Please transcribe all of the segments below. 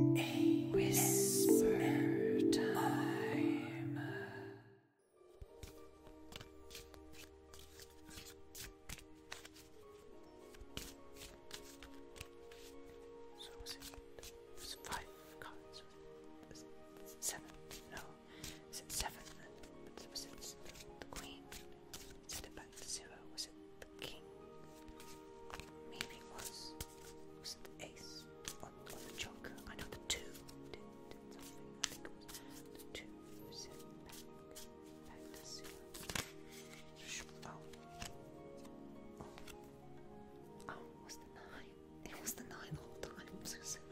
A whisper time. So was it? There's five cards. seven? No. Is it seven? Was it the queen? Set it back zero. Was it the king? Maybe was. Was it the ace or, the joker? I know the two was the Oh. oh was the nine. It was the nine all the time.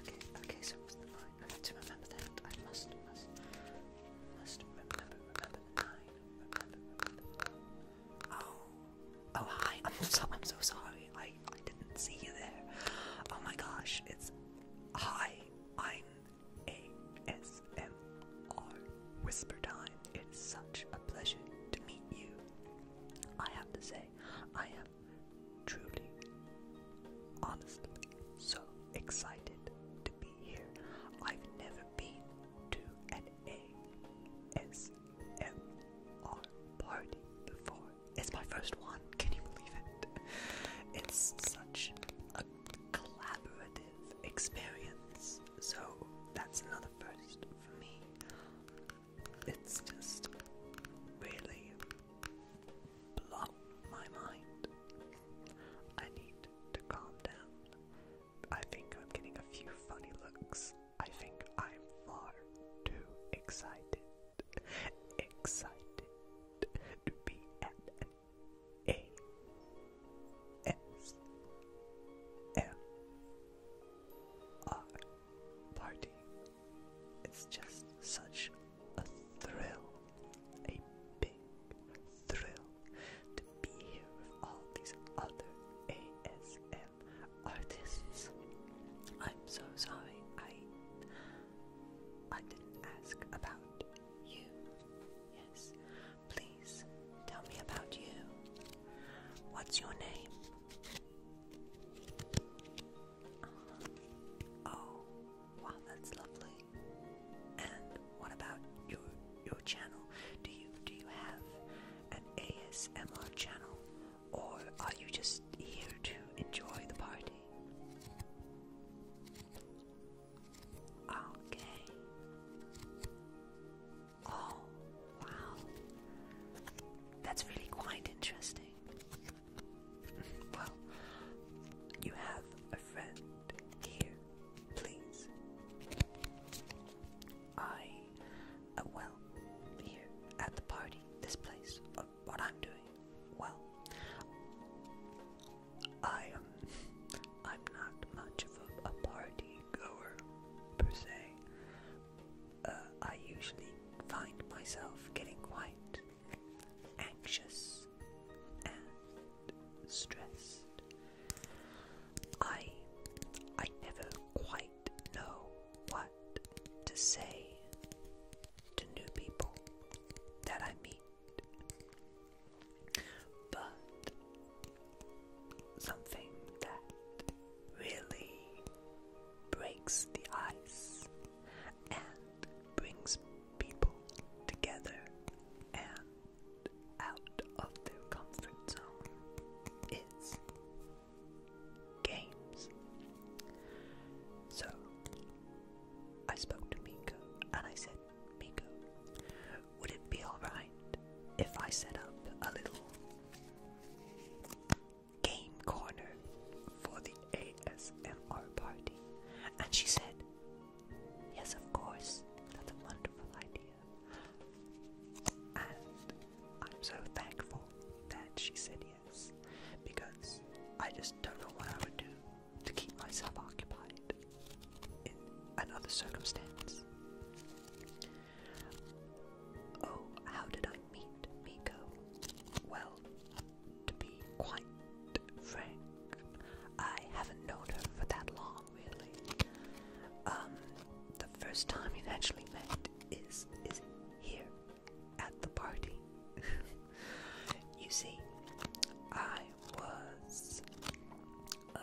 Okay, okay, so it was nine. I have to remember that. I must, must, must remember, remember the nine. Oh, oh hi. I'm so I'm so sorry. I I didn't see you there. Oh my gosh. It's hi. I'm ASMR Whisper Time. It's such a pleasure to meet you. I have to say, I am truly, honestly, so excited to be here. I've never been to an ASMR party before. It's my first one. Can you believe it? It's such a collaborative experience. So that's another first for me. It's just really blown my mind. I need to calm down. I think I'm getting a few funny looks. I think I'm far too excited. Excited to be at an ASMR party. It's just such a thrill. A big thrill to be here with all these other ASM artists. I'm so sorry I I didn't ask about you. Yes. Please tell me about you. What's your name? Uh-huh. oh, wow, that's lovely. And what about your your channel? Do you do you have an ASMR channel, or are you just here to enjoy the party? Okay. Oh, wow. That's really quite interesting. well, you have a friend here please. I, uh, well, here at the party, this place, uh, what I'm doing, well, I am, I'm not much of a, party goer, per se. Uh, I usually find myself getting quite anxious and stressed I I never quite know what to say to new people that I meet. But something that really breaks the ice and brings people together out of their comfort zone is games. So I spoke to Miko and I said, Miko, would it be alright if I set up a little game corner for the ASMR party? And she said, Yes, of course, that's a wonderful idea. And I'm so thankful that she said yes because I just don't know what I would do to keep myself occupied in another circumstance. Oh, how did I meet Miko? Well, to be quite frank, I haven't known her for that long really. Um, the first time you actually met is is here at the party. you see, I was uh,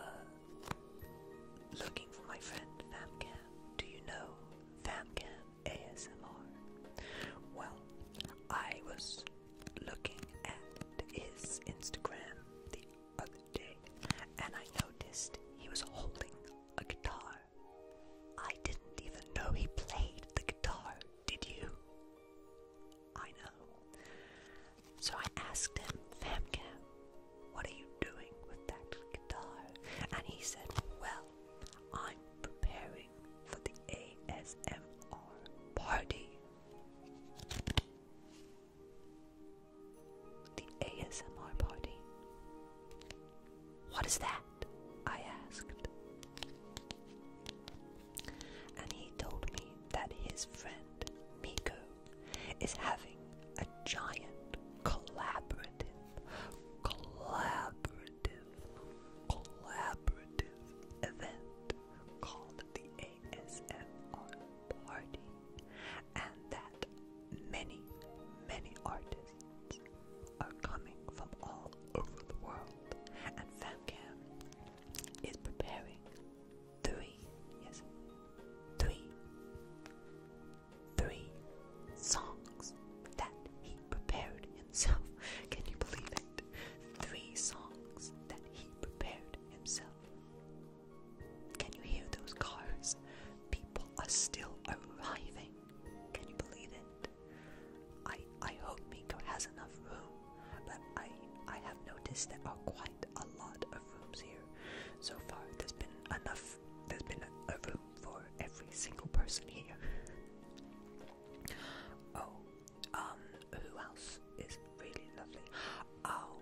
looking for my friend Famcam. Do you know Famcam ASMR? Well, I was looking at his Instagram the other and I noticed he was holding a guitar. I didn't even know he played the guitar, did you? I know. So I asked him, Famcam, what are you doing with that guitar? And he said, Well, I'm preparing for the ASMR party. The ASMR party. What is that? I asked. And he told me that his friend, Miko, is having a giant collaborative, collaborative, collaborative event called the ASMR Party, and that many, many artists are coming from all over the world, and FamCam is preparing three, yes, three, three songs that he prepared himself. Can you believe it? Three songs that he prepared himself. Can you hear those cars? People are still arriving. Can you believe it? I I hope Miko has enough room, but I I have noticed there are quite a lot of rooms here. So far, there's been enough. There's been a, room for every single person here. Oh, um, who else is really lovely? Oh,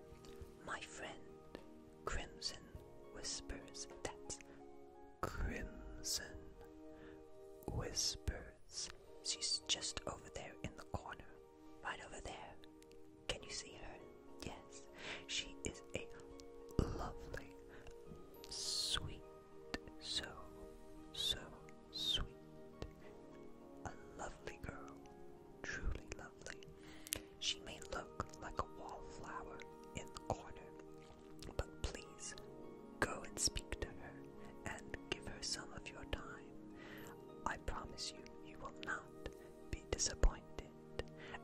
my friend, Crimson whispers. that Crimson whispers. She's just over there in the corner. Right over there. Can you see her? Yes. She is a lovely, sweet, so, so sweet a lovely girl, truly lovely. She may look like a wallflower in the corner, but please go and speak to her and give her some of your time. I promise you, you will not be disappointed.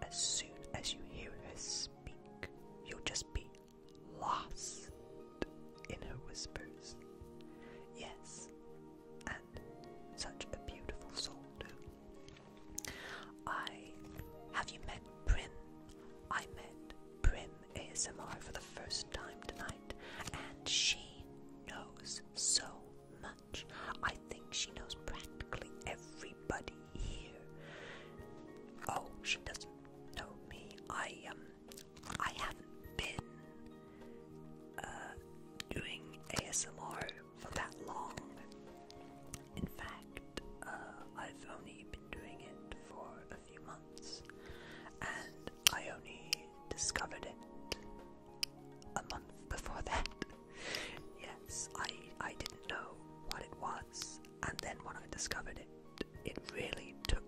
As soon as you hear her speak, you'll just be lost in her whispers. Yes, and such a beautiful soul I have you met Prim? I met Prim ASMR for the first time tonight, and she knows so much. I think she knows practically everybody here. Oh, she doesn't know me. I um I haven't been uh, doing ASMR for that long. In fact, uh, I've only been doing it for a few months, and I only discovered it a month before that. yes, I I didn't know what it was, and then when I discovered it, it really took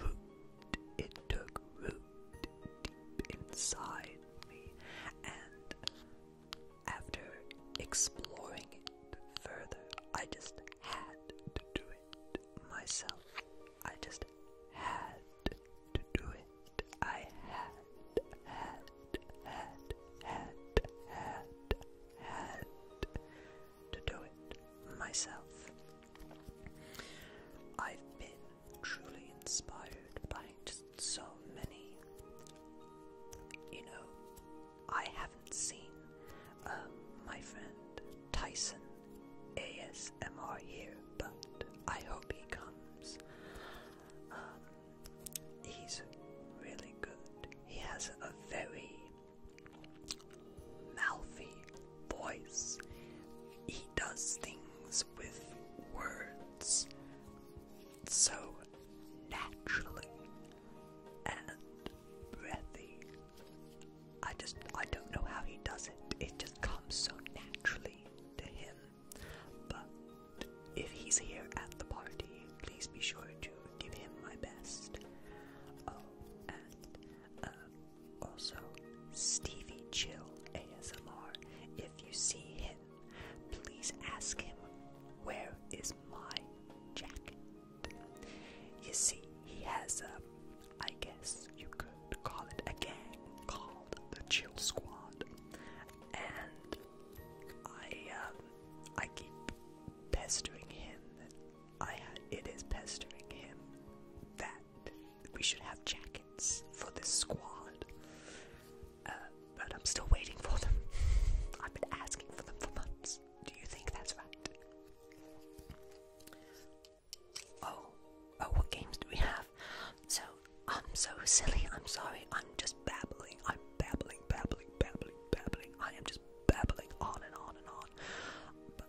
root. It took root deep inside me, and after exploring it further, I just had to do it myself. I just had to do it. I had, had, had, had, had, had to do it myself. I've been truly inspired by so many. You know, I haven't seen uh, my friend Tyson ASMR here, but I hope he comes. Um, he's really good. He has a very mouthy voice. He does things with words so naturally and breathy. I just, I don't know how he does it. It just comes so naturally to him. But if he's here at the party, please be sure to give him my best. Oh, uh, also, Stevie Chill ASMR. If you see him, please ask him, Where is my jacket? You see, he has a, I guess you could call it a gang called the Chill Squad. And I, um, I keep pestering him. I, it is pestering him that we should have jackets for this squad. Uh, but I'm still waiting for them. I've been asking for them for months. Do you think that's right? Oh, oh, what games do we have? So, I'm so silly. I'm sorry. I'm just babbling. I'm babbling, babbling, babbling, babbling. I am just babbling on and on and on. But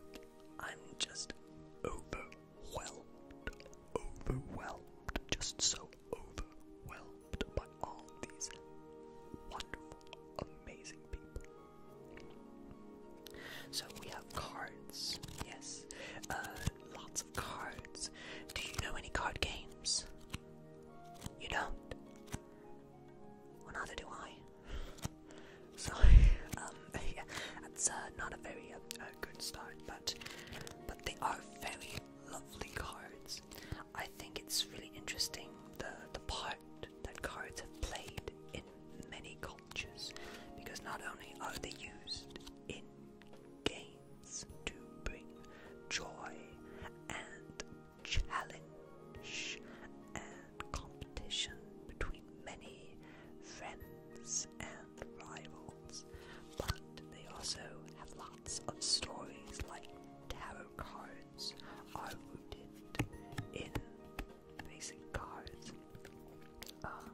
I'm just over overwhelmed, overwhelmed, just so overwhelmed by all these wonderful, amazing people. So we have cards, yes, uh, lots of cards. Do you know any card games? You don't? Well, do I. Sorry. Um, yeah, that's uh, not a very uh, uh, good start, but but they are very lovely cards. I think it's really interesting the the part that cards have played in many cultures, because not only are they used in games to bring joy and challenge and competition between many friends and rivals, but they also have lots of stories like tarot cards are rooted in basic cards. Um,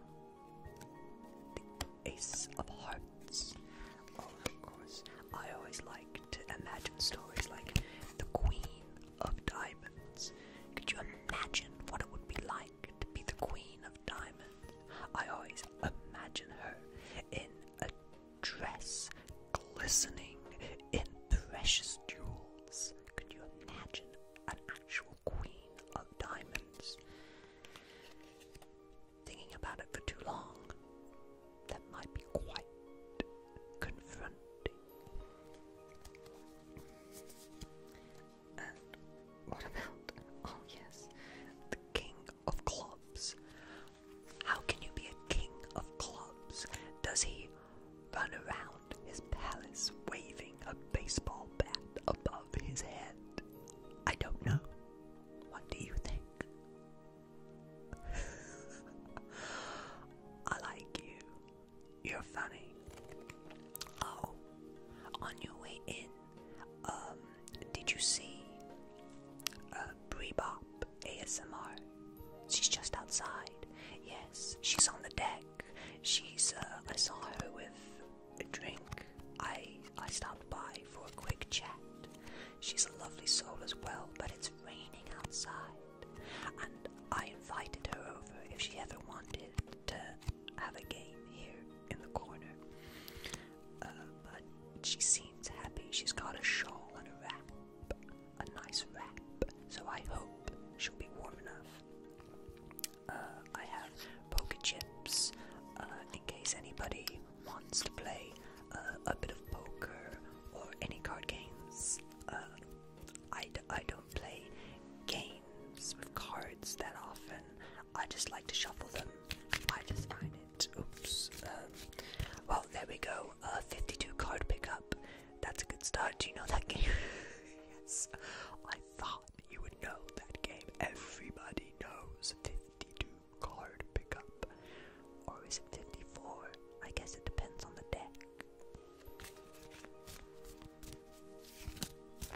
the Ace of Hearts. Oh, of course. I always like to imagine stories like the Queen of Diamonds. Could you imagine what it would be like? like be the Queen of Diamonds. I always imagine her in a dress glistening in precious jewels. Could you imagine an actual Queen of Diamonds? Thinking about it for too long, that might be quite confronting what about, oh yes, the King of Clubs? How can you be a King of Clubs? Does he run around his palace waving a baseball bat above his head? I don't know. What do you think? I like you. You're funny. Oh, on your way in, um, did you see uh, Brie Bop ASMR? She's just outside. Yes, she's on the deck. She's, uh, I saw her with a drink. I, I stopped by for a quick chat. She's a lovely soul as well, but it's raining outside. And I invited her over if she ever wanted to have a game here in the corner. Uh, but she seems happy. She's got a shawl and a wrap, a nice wrap. So I hope she'll be warm enough. Uh, I have poker chips uh, in case anybody wants to play a bit of poker or any card games. I I d I don't play games with cards that often. I just like to shuffle them. I just find it. Oops. Um, well, there we go. A 52 card pickup. That's a good start. Do you know that game? yes. I thought you would know that game. Everybody knows 52 card pickup. Or is it 54? I guess it depends on the deck.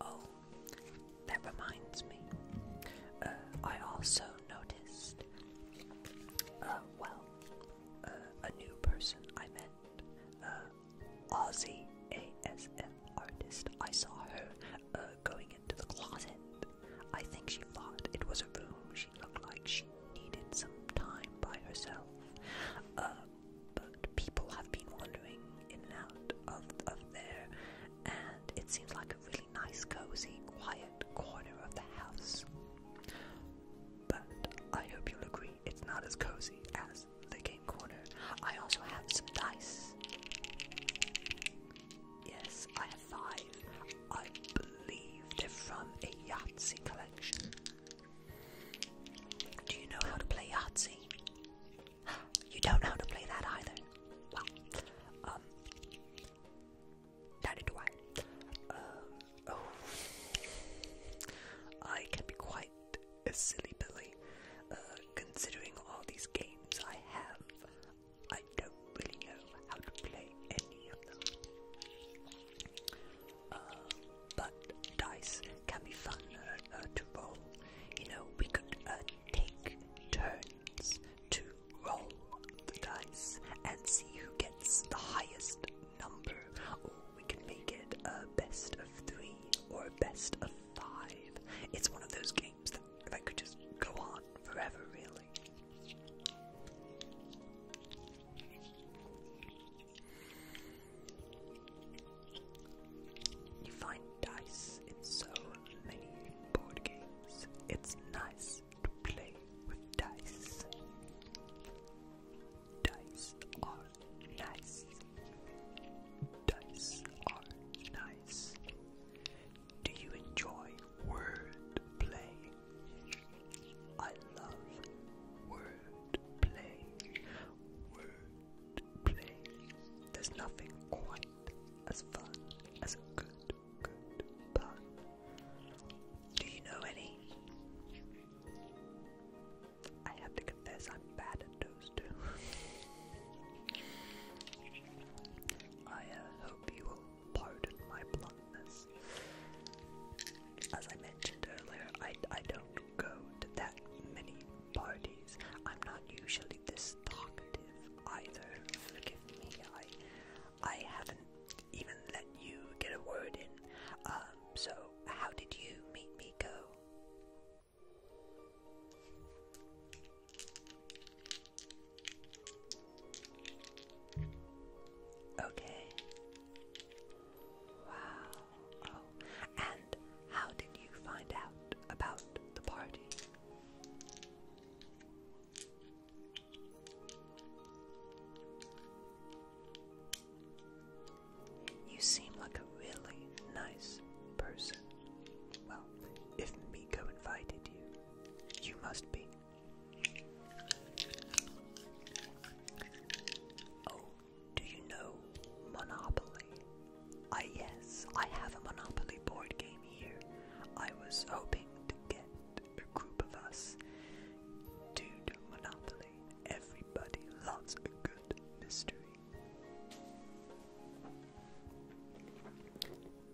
Oh, that reminds me. Uh, I also noticed, uh, well, uh, a new person I met, uh, Aussie ASM artist. I saw her going into the closet. I think she thought it was a room. She looked like she needed some time by herself but people have been wandering in and out of, of there, and it seems like a really nice, cozy, quiet corner of the house. But I hope you'll agree, it's not as cozy as the game corner. I also have some dice. Yes, I have five. I believe they're from a Yahtzee collection. Do you know how to play Yahtzee? You don't know how to play that either. Well, um, neither do I. Uh, oh. I can be quite a silly billy. Uh, considering all these games I have, I don't really know how to play any of them. Uh, but dice can be fun uh, uh, to roll. You know, we could take turns to roll the dice and see who gets the highest number, or we can make it a best of three or best of five. It's one of those games that, that could just go on forever, really. You find dice in so many board games. It's nice to play with dice. Dice are nice. Dice are nice. Do you enjoy word play? I love word play. There's nothing quite as fun as a good, good pun. Do you know any? I have to confess, I'm bad at those too. I uh, hope you will pardon my bluntness. As I mentioned earlier, I, I don't go to that many parties. I'm not usually this talkative either. Forgive me, I I haven't even let you get a word in. Um, so how did you meet me go? Okay. Wow. Oh, and how did you find out about the party? You seem like a really nice person. Well, if Miko invited you, you must be. Oh, do you know Monopoly? Ah, yes, I have a Monopoly board game here. I was hoping to get a group of us to do Monopoly. Everybody loves a good mystery.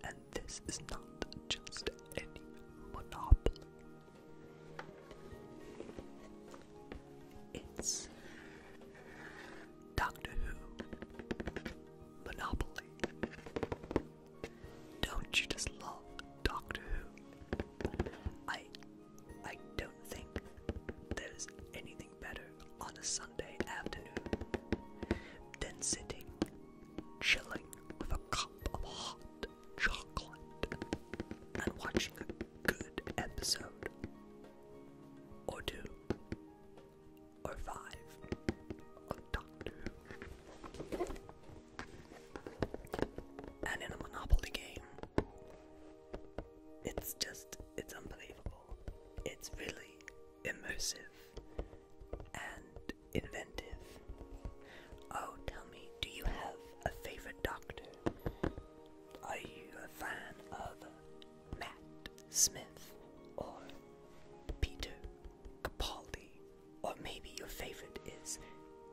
And this is not just any Monopoly. It's Doctor Who Monopoly. Don't you just love Doctor Who? I I don't think there's anything better on a Sunday afternoon than sitting chilling with a cup of hot chocolate and watching a good episode, or two, or five of Doctor And in a Monopoly game, it's just, it's unbelievable. It's really immersive and inventive. Oh, tell me, do you have a favorite doctor? Are you a fan of Matt Smith or Peter Capaldi? Or maybe your favorite is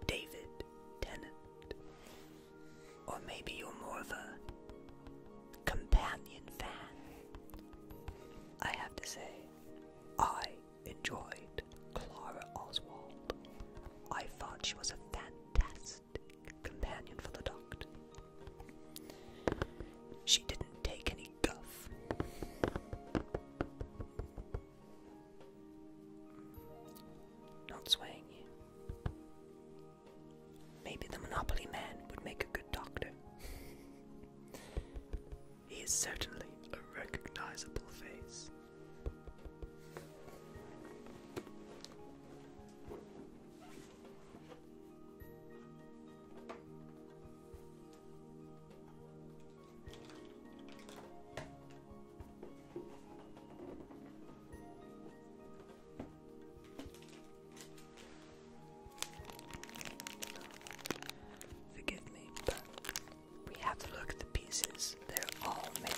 David Tennant? Or maybe you're more of a companion fan? I have to say, I enjoyed Clara Oswald. I thought she was a fantastic companion for the doctor. She didn't take any guff. Not swaying Maybe the Monopoly Man would make a good doctor. he is certainly a recognizable face. Forgive me, but we have to look at the pieces. They're all made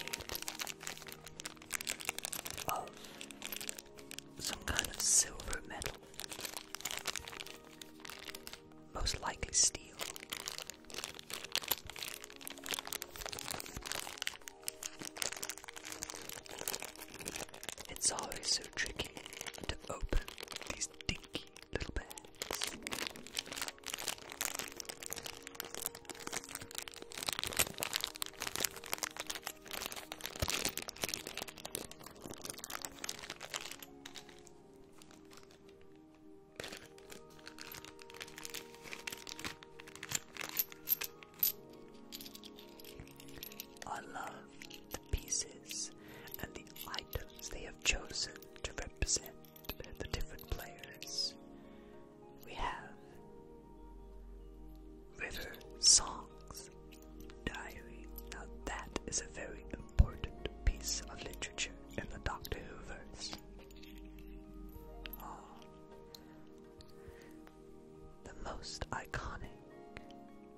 of some kind of silver metal, most likely steel. It's always so tricky to open these dinky little bags. I love the pieces and the items they have chosen to represent the different players we have River Songs Diary. Now, that is a very important piece of literature in the Doctor Who verse. Oh. The most iconic,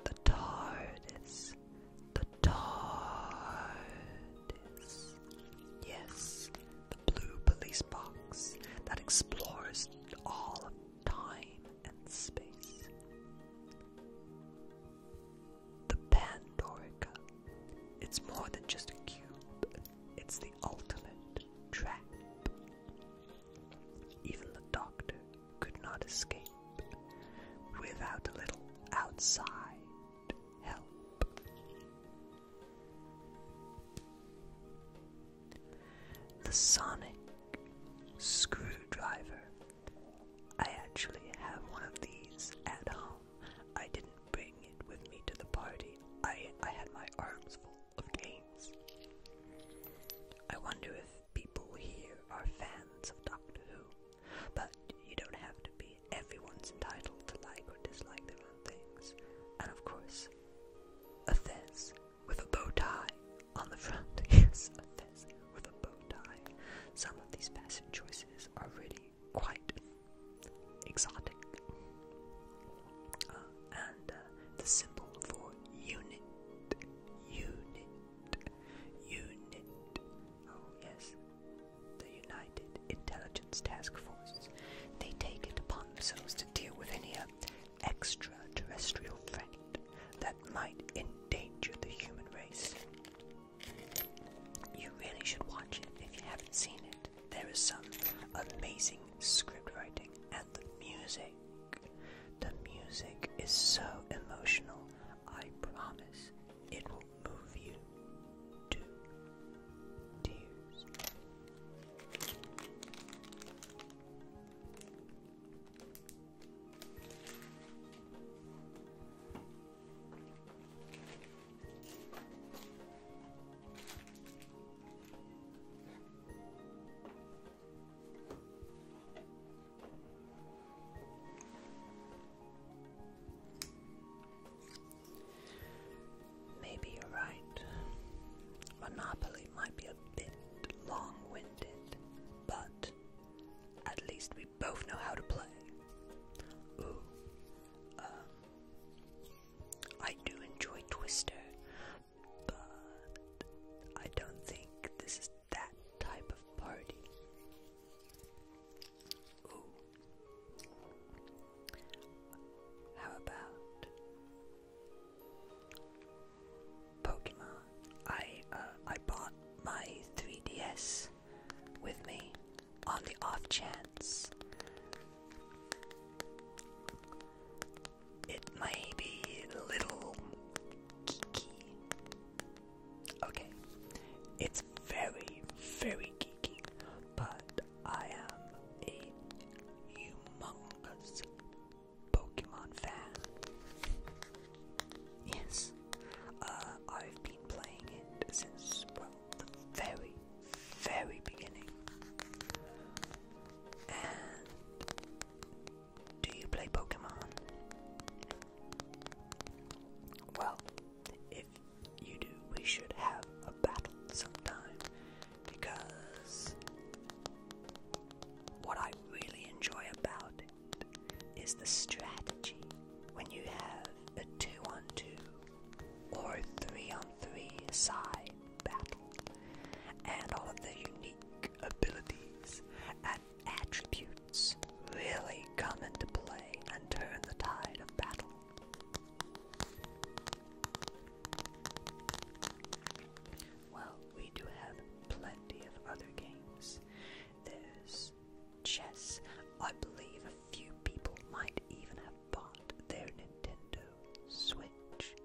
the TARDIS, the TARDIS. Yes, blue police box that explores all of time and space. The Pandorica. It's more than just a cube, it's the ultimate trap. Even the doctor could not escape without a little outside help. The sonic screwdriver. I actually have one of these at home. I didn't bring it with me to the party. I I had my arms full of games. I wonder if people here are fans of Doctor Who, but you don't have to be. Everyone's entitled to like or dislike their own things. And of course, a fez with a bow tie on the front. yes, a fez with a bow tie. Some of these fashion choices are really quite exotic. Uh, and uh, the symbol for unit, unit, unit. Oh, yes, the United Intelligence Task Force. They take it upon themselves to deal with any uh, extraterrestrial threat that might endanger the human race. You really should watch it if you haven't seen it. There is some amazing script writing and the music. The music is so emotional. I promise it will move you two tears. Maybe you're right. Monopoly might be a bit long winded, but at least we both know how to play. Ooh. Um, I do enjoy Twister, but I don't think this is that type of party. Ooh. How about Pokemon? I uh, I bought my 3DS with me on the off chance it may be a little geeky. Okay, it's very very geeky, but I am a humongous Pokemon fan. Yes, uh, I've been playing it since, well, the very, very beginning. do you play Pokemon? Well, if you do, we should have a battle sometime because what I really enjoy about it is the strategy when you have a two on two or a three on three side battle and all of the unique abilities and attributes really come into play and turn the tide of battle well, we do have plenty of other games. There's chess. I believe a few people might even have bought their Nintendo Switch.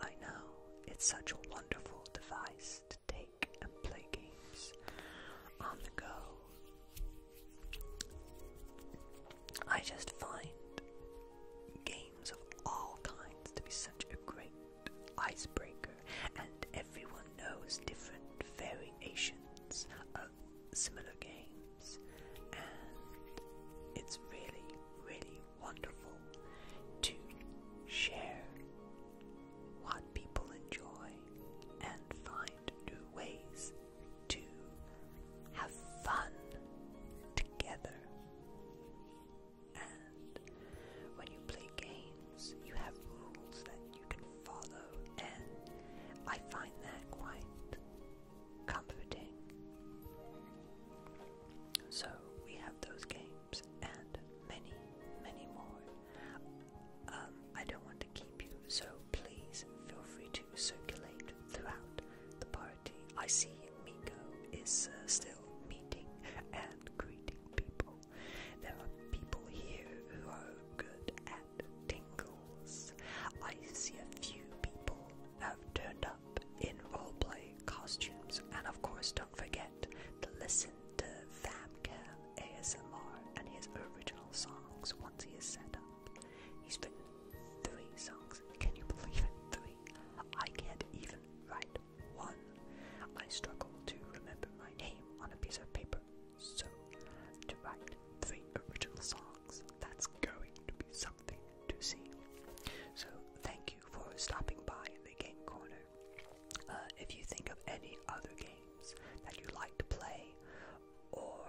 I know, it's such a wonderful device to take and play games on the go. I just find games of all kinds to be such a great icebreaker, and everyone knows different variations of similar games, and it's really, really wonderful to share what people enjoy and find new ways to have fun together. And when you play games, you have rules that you can follow, and I find that quite comforting. So we have those games and many, many more. Um, I don't want to keep you, so please feel free to circulate throughout the party. I see Miko is uh, still meeting and greeting people. There are people here who are good at tingles. I see a few people have turned up in roleplay costumes, and of course, don't forget to listen to Famcam ASMR and his original songs he is set up. He's written three songs. Can you believe it? Three. I can't even write one. I struggle to remember my name on a piece of paper. So, to write three original songs, that's going to be something to see. So, thank you for stopping by in the Game Corner. Uh, if you think of any other games that you like to play, or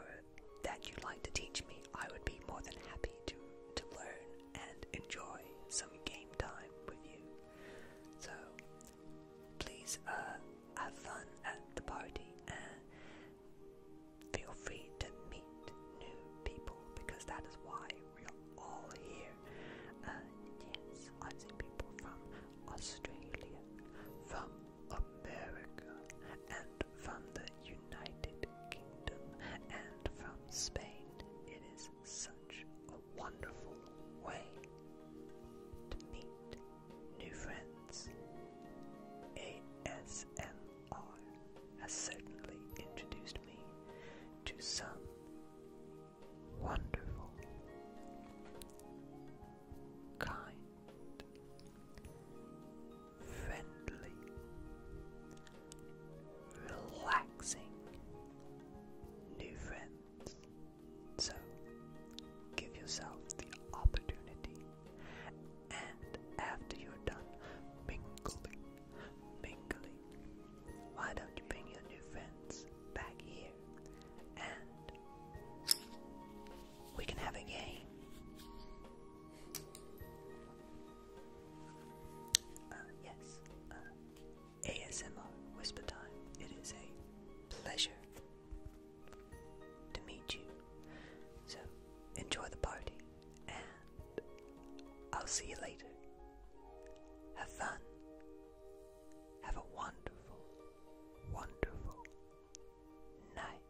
that you'd like to teach me, I would be more than happy to, to learn and enjoy some game time with you. So please uh, have fun at the party and feel free to meet new people because that is why we're all here. Uh, yes, I've people from Australia, from America, and from the United Kingdom, and from Spain. It is such a wonderful way to meet new friends. ASMR has certainly introduced me to some wonderful, kind, friendly, relaxing new friends. So give yourself the opportunity, and after you're done mingling, mingling, why don't you bring your new friends back here and we can have a game. Uh, yes, uh, ASMR Whisper Time. It is a pleasure to meet you. So enjoy the party, and I'll see you later. Have fun. Have a wonderful, wonderful night.